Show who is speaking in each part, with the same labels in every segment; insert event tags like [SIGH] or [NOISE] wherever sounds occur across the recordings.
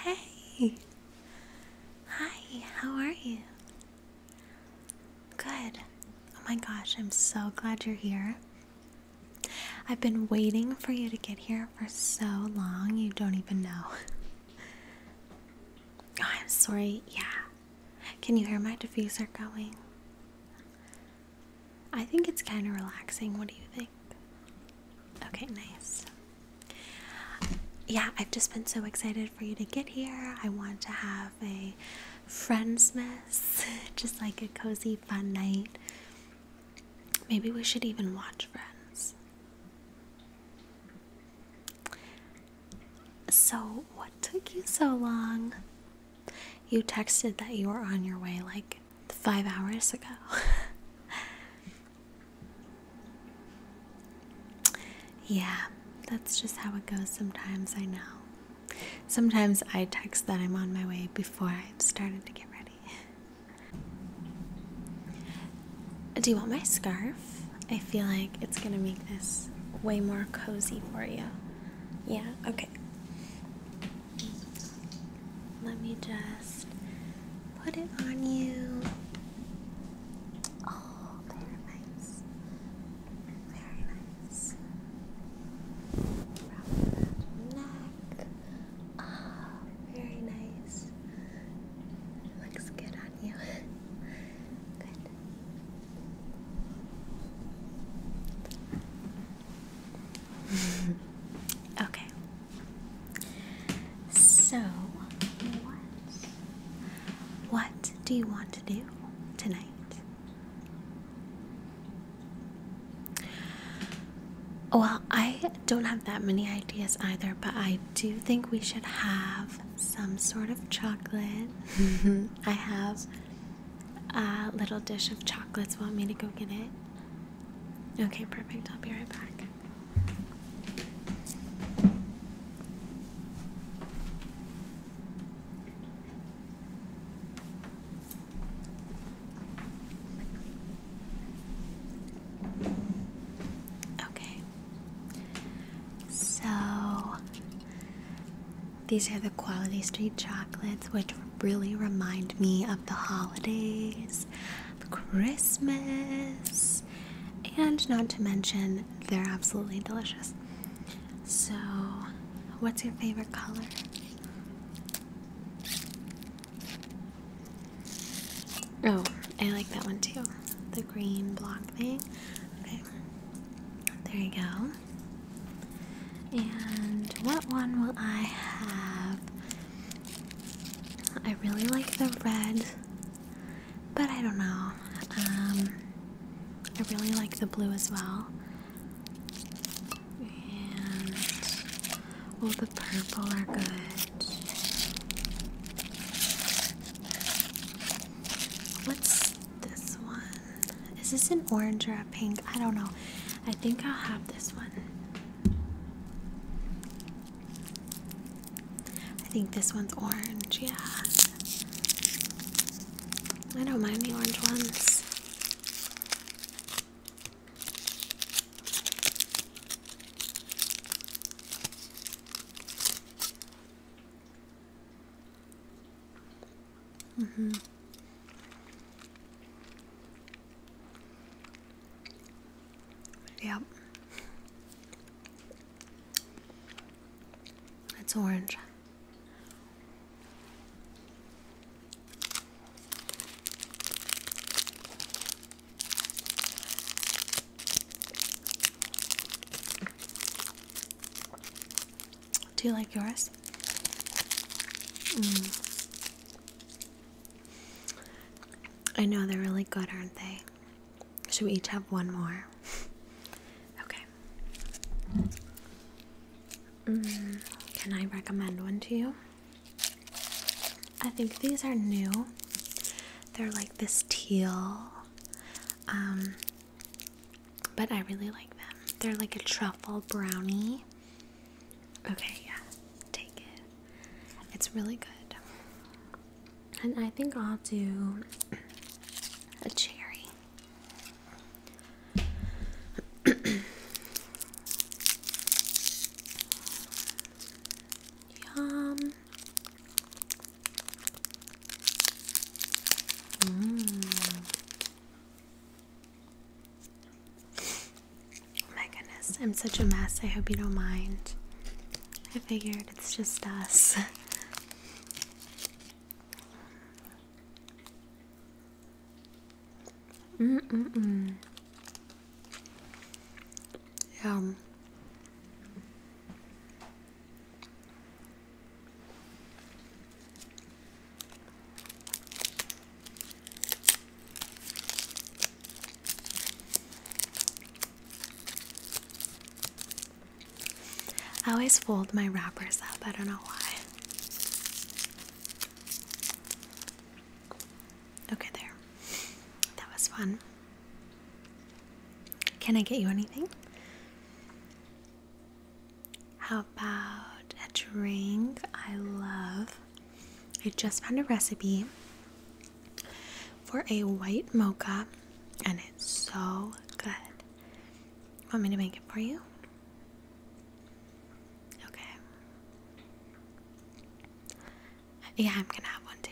Speaker 1: Hey! Hi, how are you? Good. Oh my gosh, I'm so glad you're here. I've been waiting for you to get here for so long, you don't even know. Oh, I'm sorry, yeah. Can you hear my diffuser going? I think it's kind of relaxing. What do you think? Okay, nice. Yeah, I've just been so excited for you to get here. I want to have a friendsmas, [LAUGHS] just like a cozy, fun night. Maybe we should even watch Friends. So, what took you so long? You texted that you were on your way like five hours ago. [LAUGHS] yeah, that's just how it goes sometimes, I know. Sometimes I text that I'm on my way before I've started to get ready. [LAUGHS] Do you want my scarf? I feel like it's gonna make this way more cozy for you. Yeah, okay. Let me just put it on you. Oh, very nice. Very nice. Wrap that neck. oh, very nice. Looks good on you. [LAUGHS] good. [LAUGHS] okay. So, what what do you want to do tonight? Well, I don't have that many ideas either, but I do think we should have some sort of chocolate. Mm-hmm. I have a little dish of chocolates. Want me to go get it? Okay, perfect. I'll be right back. Okay. So these are the Quality Street chocolates, which really remind me of the holidays, the Christmas, and not to mention they're absolutely delicious. So, what's your favorite color? Oh, I like that one too. The green block thing. Okay. There you go. And what one will I have? I really like the red, but I don't know. Um, I really like the blue as well. And oh, the purple are good. What's this one? Is this an orange or a pink? I don't know. I think I'll have this one. I think this one's orange, yeah. I don't mind the orange ones. hmm Yep. It's orange. Do you like yours? Mm. I know they're really good, aren't they? Should we each have one more? okay. Mm, can I recommend one to you? I think these are new. They're like this teal. Um, but I really like them. They're like a truffle brownie. Okay, yeah, take it. It's really good. And I think I'll do a cherry. [COUGHS] Yum. Mm. Oh my goodness, I'm such a mess. I hope you don't mind. I figured it's just us. Mm mm mm. Yeah. I always fold my wrappers up, I don't know why. Okay, there. That was fun. Can I get you anything? How about a drink I love? I just found a recipe for a white mocha and it's so good. Want me to make it for you? Okay. Yeah, I'm gonna have one too.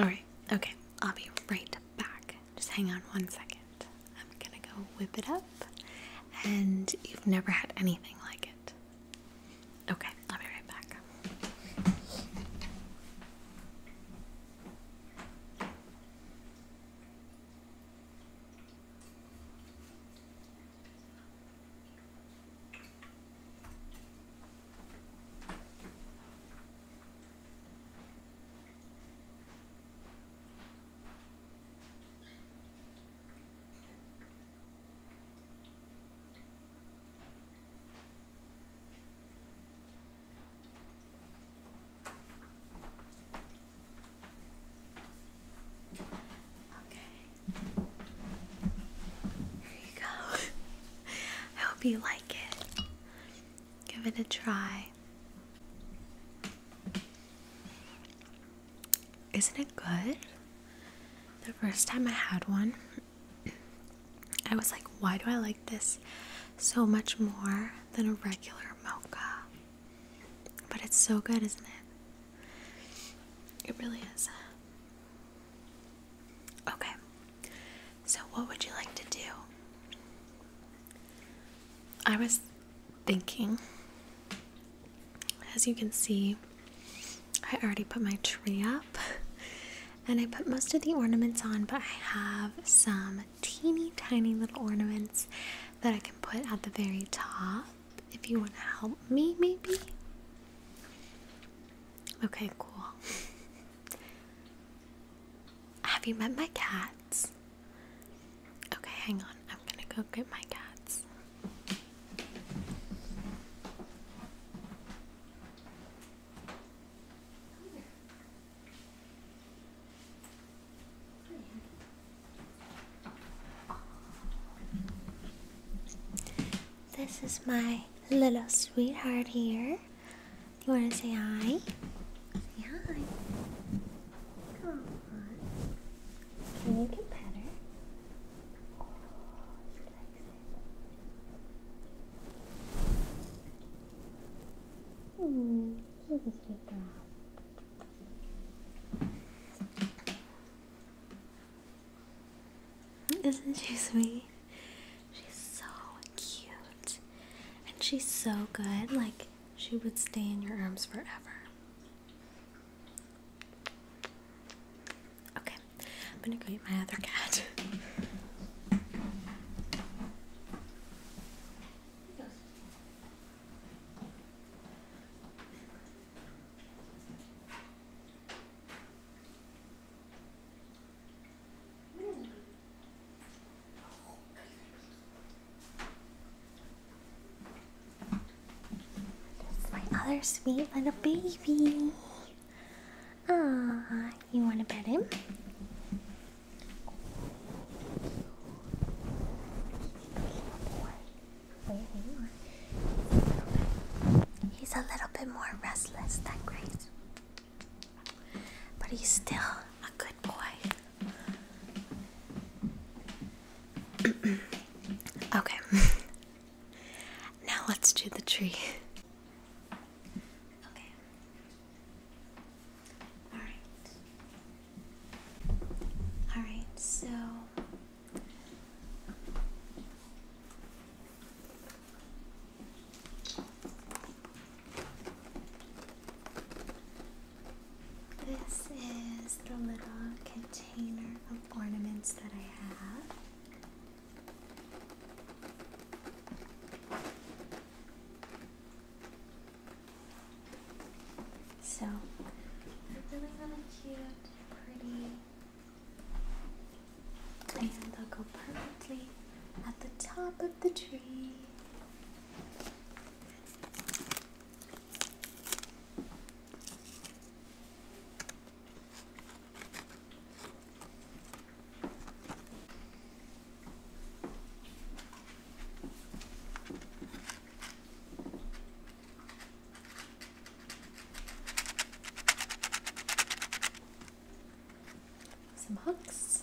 Speaker 1: Alright, okay. I'll be right back. Just hang on one second. I'm gonna go whip it up, and you've never had anything like it. Okay, I'll be right back. Okay. [LAUGHS] There you go. I [LAUGHS] hope you like it. Give it a try. Isn't it good? The first time I had one, I was like, why do I like this so much more than a regular mocha? But it's so good, isn't it? It really is. Okay, so what would you like to do? I was thinking as you can see, I already put my tree up [LAUGHS] and I put most of the ornaments on, but I have some teeny tiny little ornaments that I can put at the very top if you want to help me, maybe. Okay, cool. [LAUGHS] Have you met my cats? Okay, hang on. I'm gonna go get my cats. This is my little sweetheart here. You wanna say hi? Say hi. Can you get better? Oh, she likes it. Hmm, she's a sweet Isn't she sweet? She's so cute. And she's so good. Like, she would stay in your arms forever. Okay, I'm gonna go my other cat. [LAUGHS] [LAUGHS] That's my other sweet little baby. Ah, you want to pet him? He's a little bit more restless than Grace, but he's still a good boy. [COUGHS] okay. [LAUGHS] now let's do the tree. [LAUGHS] Okay. Alright. Alright, so. This is the little container of ornaments that I have. So, they're really, really cute, pretty, and they'll go perfectly at the top of the tree some hooks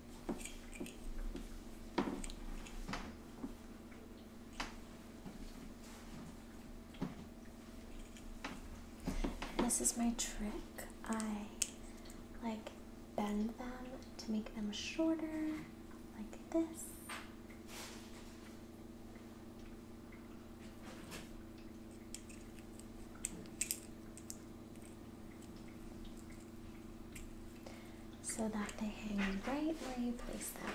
Speaker 1: this is my trick. I like bend them to make them shorter, like this so that they hang right where you place them.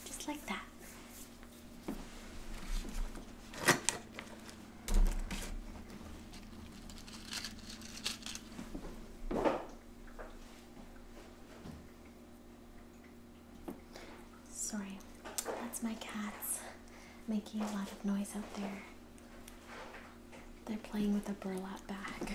Speaker 1: [LAUGHS] Just like that. Sorry, that's my cats making a lot of noise out there. They're playing with a burlap bag.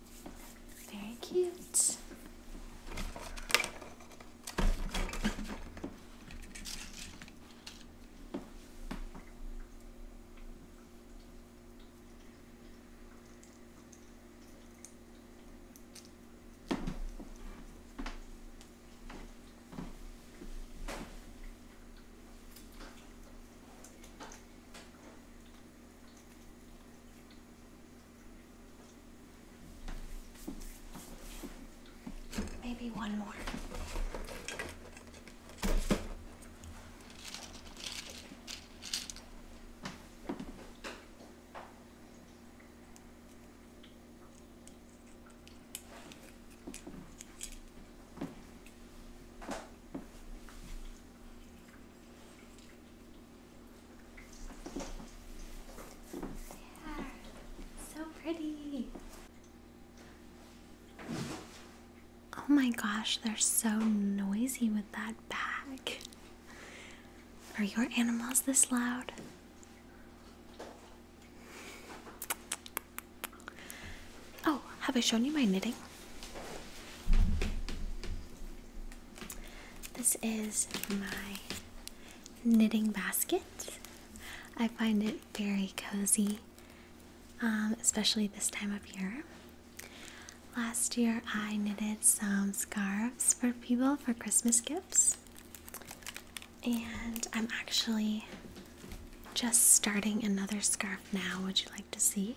Speaker 1: Very cute. Maybe one more so pretty. Oh my gosh, they're so noisy with that bag. Are your animals this loud? Oh, have I shown you my knitting? This is my knitting basket. I find it very cozy, um, especially this time of year. Last year, I knitted some scarves for people for Christmas gifts, and I'm actually just starting another scarf now. Would you like to see?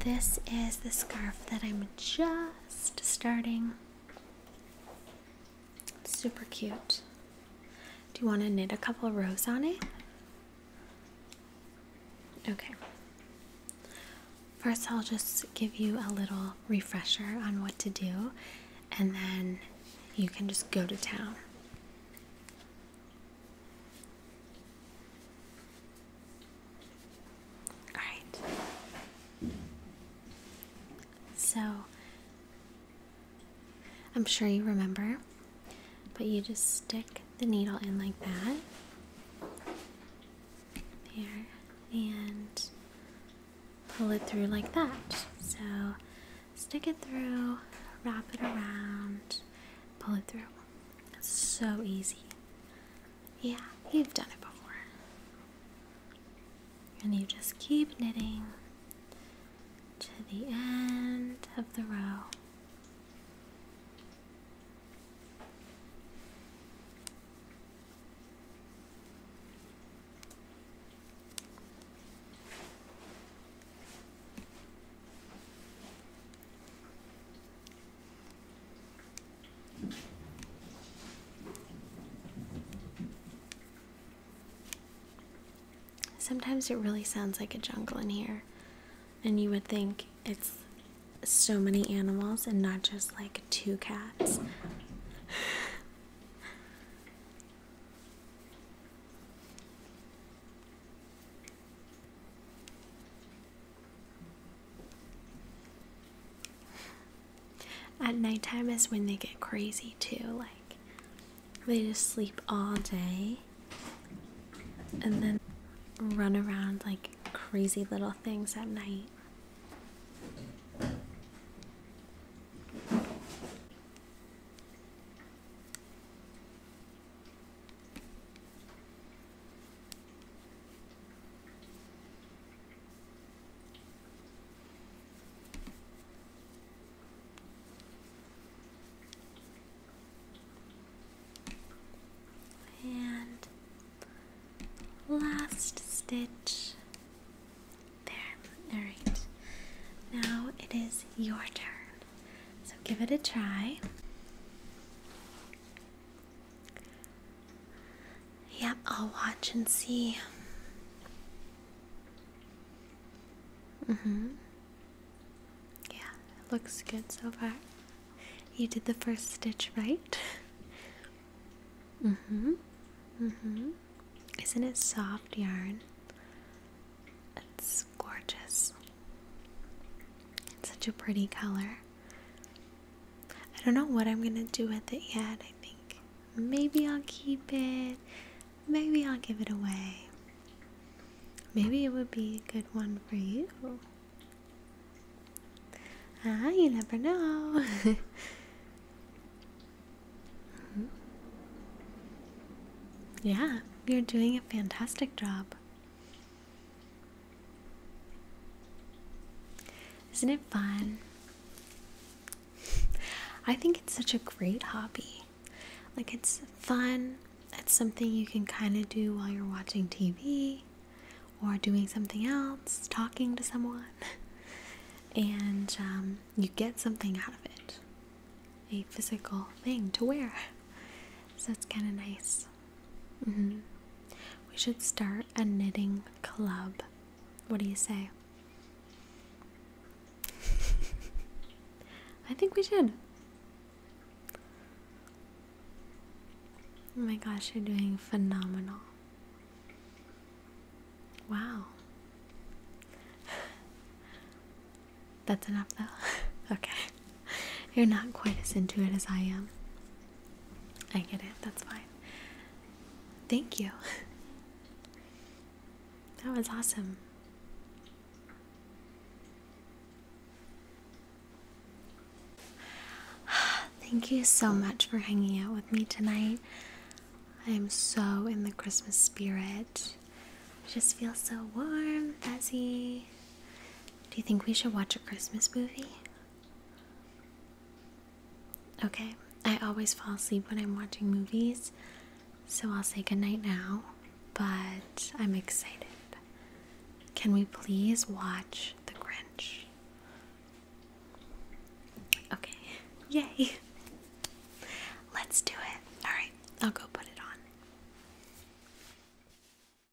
Speaker 1: this is the scarf that I'm just starting. super cute. Do you want to knit a couple rows on it? Okay. First, I'll just give you a little refresher on what to do, and then you can just go to town. All right. So, I'm sure you remember, but you just stick the needle in like that. There, and pull it through like that. So, stick it through, wrap it around, pull it through. It's so easy. Yeah, you've done it before. And you just keep knitting to the end of the row. Sometimes it really sounds like a jungle in here, and you would think it's so many animals and not just like two cats. At nighttime is when they get crazy too, like they just sleep all day and then run around like crazy little things at night. And last stitch. There. Alright. Now it is your turn. So give it a try. Yep, I'll watch and see. Mm hmm. Yeah, it looks good so far. You did the first stitch right. Mm hmm. Mm hmm. Isn't it soft yarn? It's gorgeous. It's such a pretty color. I don't know what I'm gonna do with it yet. I think maybe I'll keep it, maybe I'll give it away. Maybe it would be a good one for you. Ah, you never know. [LAUGHS] Yeah, you're doing a fantastic job. Isn't it fun? [LAUGHS] I think it's such a great hobby. Like, it's fun. It's something you can kind of do while you're watching TV or doing something else, talking to someone. [LAUGHS] And um, you get something out of it a physical thing to wear. [LAUGHS] So it's kind of nice. Mm-hmm. We should start a knitting club. What do you say? [LAUGHS] I think we should. Oh my gosh, you're doing phenomenal. Wow. [LAUGHS] That's enough though. [LAUGHS] okay. [LAUGHS] You're not quite as into it as I am. I get it, that's fine. Thank you. [LAUGHS] That was awesome. [SIGHS] Thank you so much for hanging out with me tonight. I am so in the Christmas spirit. I just feel so warm, fuzzy, do you think we should watch a Christmas movie? Okay, I always fall asleep when I'm watching movies, so I'll say goodnight now, but I'm excited. Can we please watch The Grinch? Okay, [LAUGHS] yay! Let's do it. Alright, I'll go put it on.